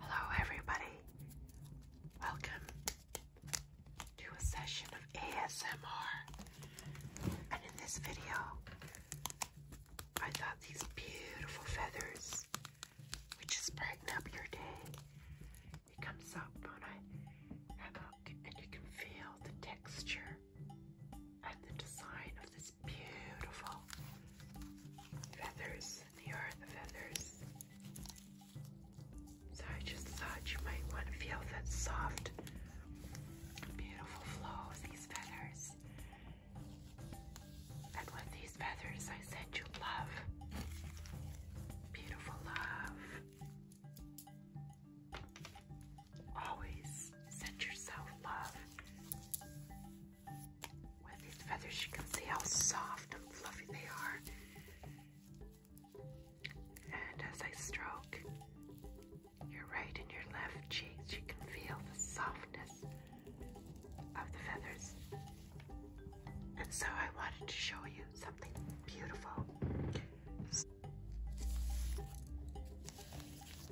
Hello, everybody. Welcome to a session of ASMR. And in this video, I got these beautiful feathers, which is brighten up your day. It comes up on a hammock, and you can feel the texture and the design of this beautiful feathers. They are the feathers. So I just thought you might want to feel that soft, beautiful flow of these feathers. And with these feathers, I send you love. Beautiful love. Always send yourself love. With these feathers, you can see how soft and fluffy they are. And as I stroke your right and your left cheeks, you can feel the softness of the feathers. And so I wanted to show you something beautiful.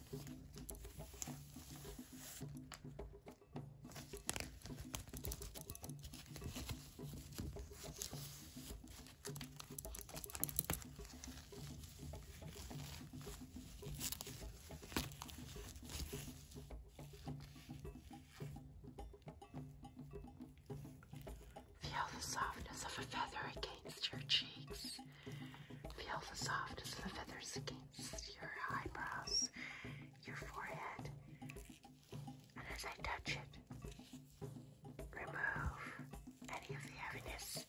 Feel the softness of a feather against your cheeks. Feel the softness of the feathers against your eyebrows, your forehead, and as I touch it, remove any of the heaviness,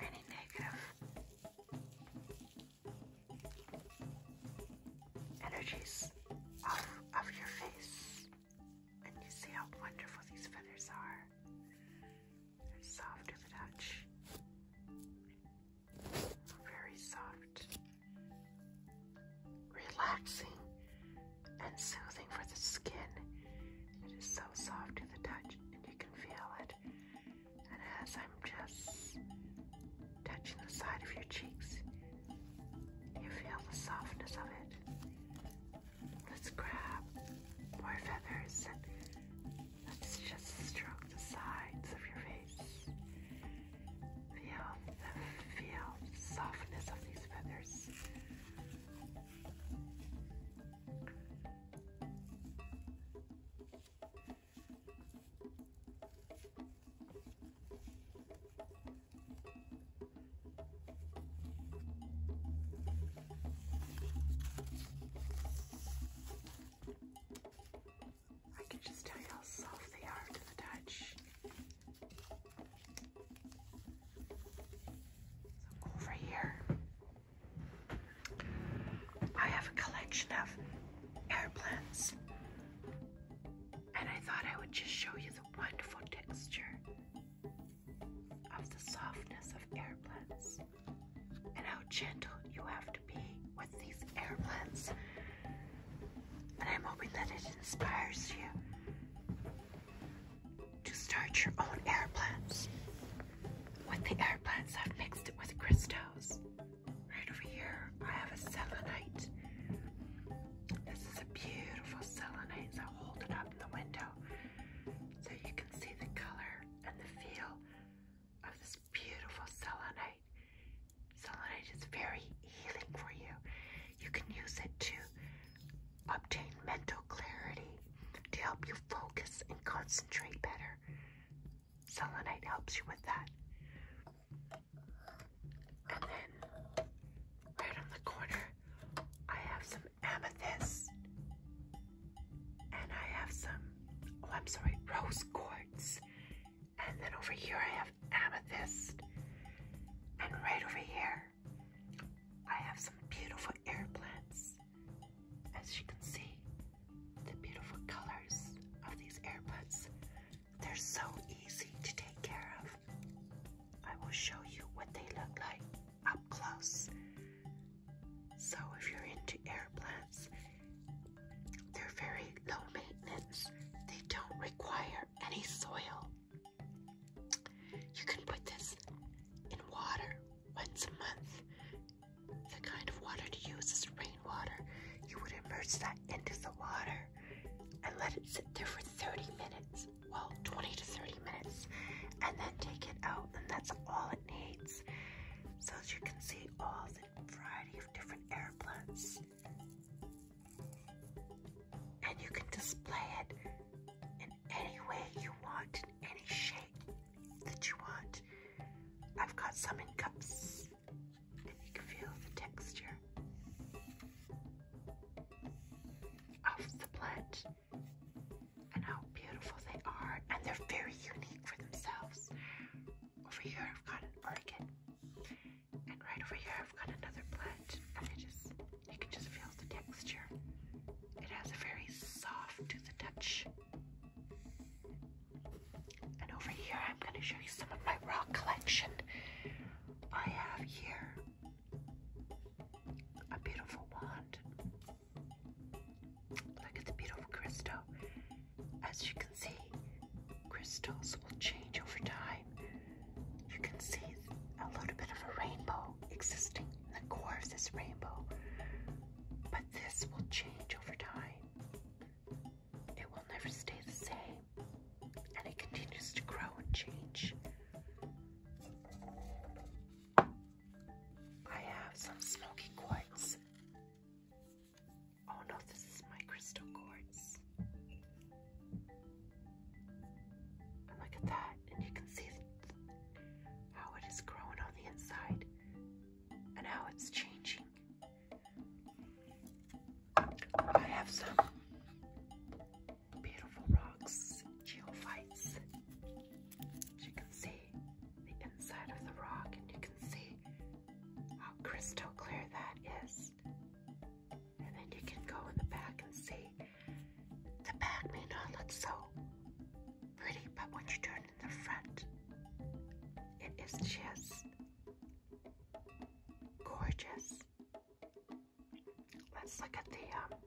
any negative energies off of your face. And you see how wonderful these feathers are. They're soft to the touch. Very soft. Relaxing and soothing for the skin. It is so soft to the touch and you can feel it. And as I'm just touching the side of your cheeks, you feel the softness of it. Let's grab more feathers Let's just stroke the sides of your face. Feel the feel softness of these feathers. I can just tell you how soft they are to the touch. over here, I have a collection of airplanes. And I thought I would just show you the wonderful texture of the softness of airplanes and how gentle you have to be with these air blends. And I'm hoping that it inspires you to start your own air blends. With the air blends, I've mixed it with crystals. Right over here, I have a selenite. This is a beautiful selenite, so hold it up in the window so you can see the color and the feel of this beautiful selenite. Selenite is very healing for you. You can use it to obtain mental clarity, to help you focus and concentrate better. Selenite helps you with that. And then, right on the corner, I have some amethyst. And I have some, oh, I'm sorry, rose quartz. And then over here I have amethyst. And right over here, I have some beautiful air plants. As you can see, the beautiful colors of these air plants. They're so easy to take care of. I will show you what they look like up close. So, if you're into air plants, they're very low maintenance, they don't require any soil. You can put this in water once a month. The kind of water to use is rainwater. You would immerse that into the water and let it sit there for 30 minutes well, 20 to 30 minutes, and then take it out, and that's all it needs so that you can see all the variety of different airplanes. And you can display it in any way you want, in any shape that you want. I've got some in cups, and you can feel the texture of the plant and how beautiful they are. And they're very unique for themselves. Over here, I've got an orchid. And right over here, I've got another plant. And it just, you can just feel the texture. It has a very soft to the touch. And over here, I'm going to show you some of my rock collection. I have here a beautiful wand Look at the beautiful crystal. As you can see, crystals will change over time. You can see a little bit of a rainbow existing in the core of this rainbow, but this will change over time. It will never stay the same, and it continues to grow and change. I have some smoky quartz. Oh no, this is my crystal quartz. And look at that, and you can see how it is growing on the inside and how it's changing. I have some beautiful rocks, geophytes, you can see the inside of the rock, and you can see how crystal clear that is. And then you can go in the back and see. The back may not look so pretty, but when you turn in the front, it is just gorgeous. Let's look at the um,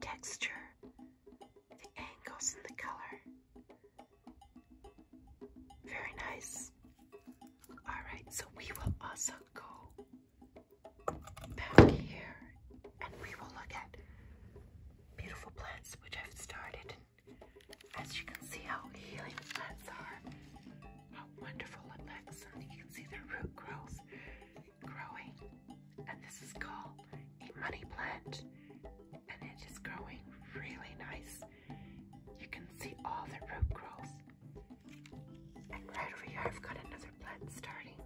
texture, the angles, and the color. Very nice. Alright, so we will also go back here and we will look at beautiful plants which I've started. as you can see, how healing plants are, how wonderful it looks, you can see the root growth growing, and this is called a money plant, and it is growing really nice. You can see all the root growth. And right over here, I've got another plant starting.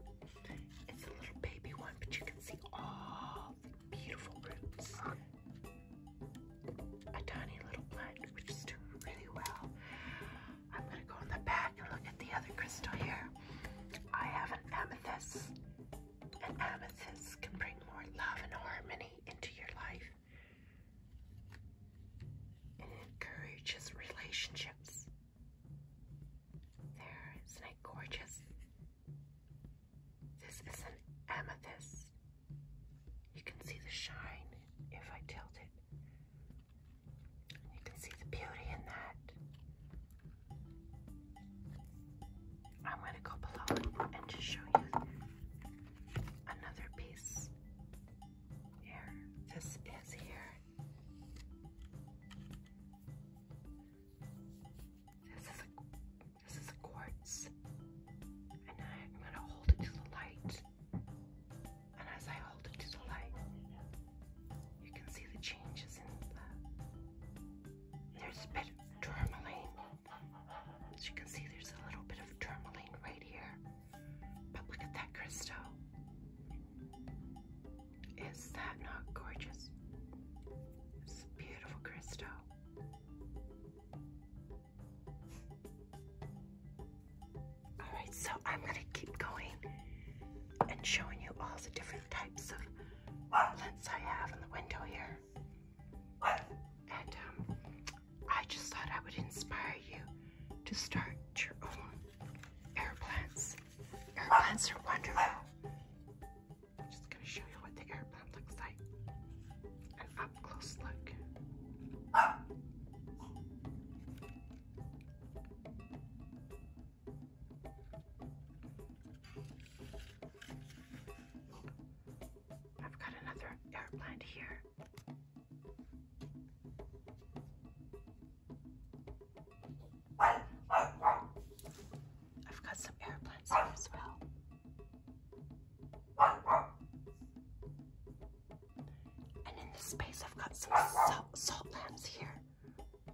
It's a little baby one, but you can see all the beautiful roots. A tiny little plant, which is doing really well. I'm gonna go in the back and look at the other crystal here. I have an amethyst. An amethyst can bring more love and harmony into your life. and encourages relationships. There, isn't it gorgeous? This is an amethyst. You can see the shine if I tilt it. You can see the beauty in that. I'm going to go below and just show you another piece. Here, this is here. This is a this is a quartz, and I'm going to hold it to the light and as I hold it to the light, you can see the changes in the. There's a bit of tourmaline. As you can see, there's a little bit of tourmaline right here. But look at that crystal. Is that not gorgeous? It's beautiful crystal. All right, so I'm gonna keep going and showing you all the different types of plants I have in the window here. And um, I just thought I would inspire you to start your own air plants. Air plants are wonderful. I'm just gonna show you what the air plant looks like. An up close look. I've got another airplane here. I've got some airplanes as well. And in this space, I've got some salt, salt lamps here,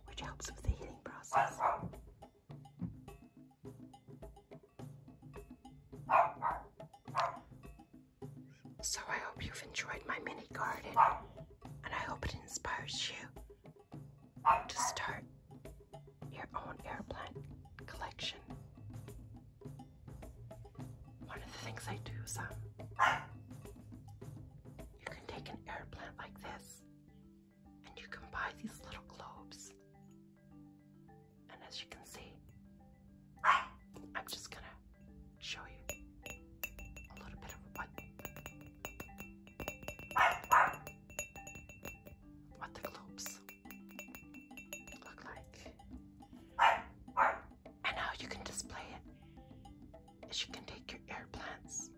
which helps with the heating process. So I hope you've enjoyed my mini garden, and I hope it inspires you to start your own air plant collection. One of the things I do is um, you can take an air plant like this, and you can buy these little globes. And as you can see, I'm just gonna show you a little bit of what what the globes look like, and how you can display it is you can take your air plants.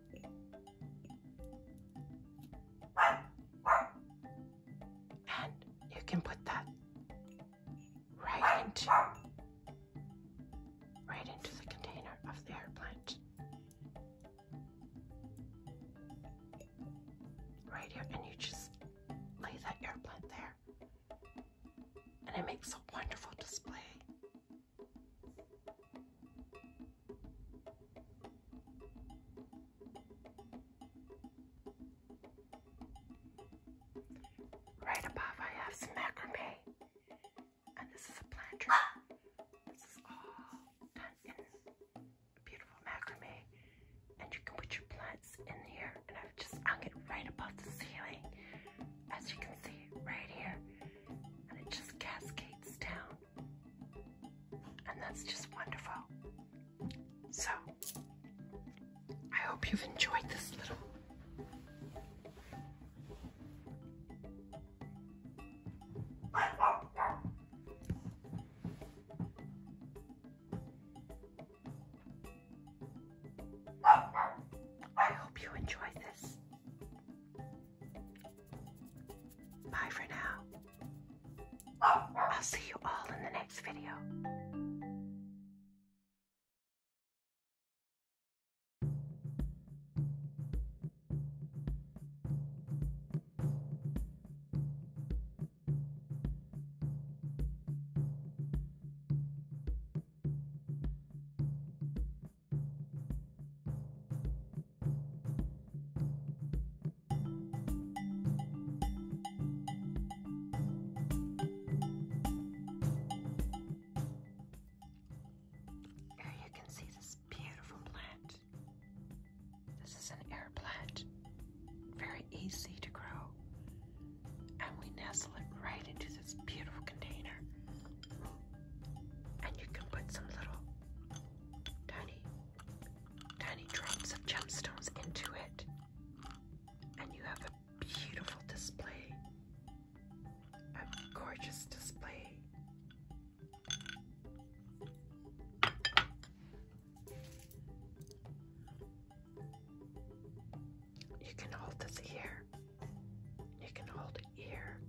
And you can put that right into right into the container of the air Right here, and you just lay that air there and it makes a wonderful display. Right above I have some macrame and this is a planter. This is all done in beautiful macrame and you can put your plants in here and I've just hung it right above the ceiling as you can see right here, and it just cascades down. And that's just wonderful. So, I hope you've enjoyed this little I hope you enjoy this. Bye for now. I'll see you all in the next video. Here you can see this beautiful plant. This is an air plant, very easy to grow and we nestle it right into this beautiful container. And you can put some little tiny, tiny drops of gemstones into it, and you have a beautiful display, a gorgeous display. You can hold this here. You can hold it here.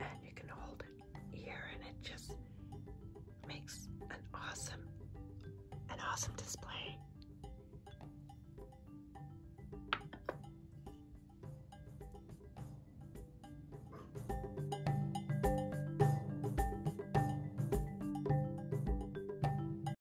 And you can hold it here, and it just makes an awesome, an awesome display.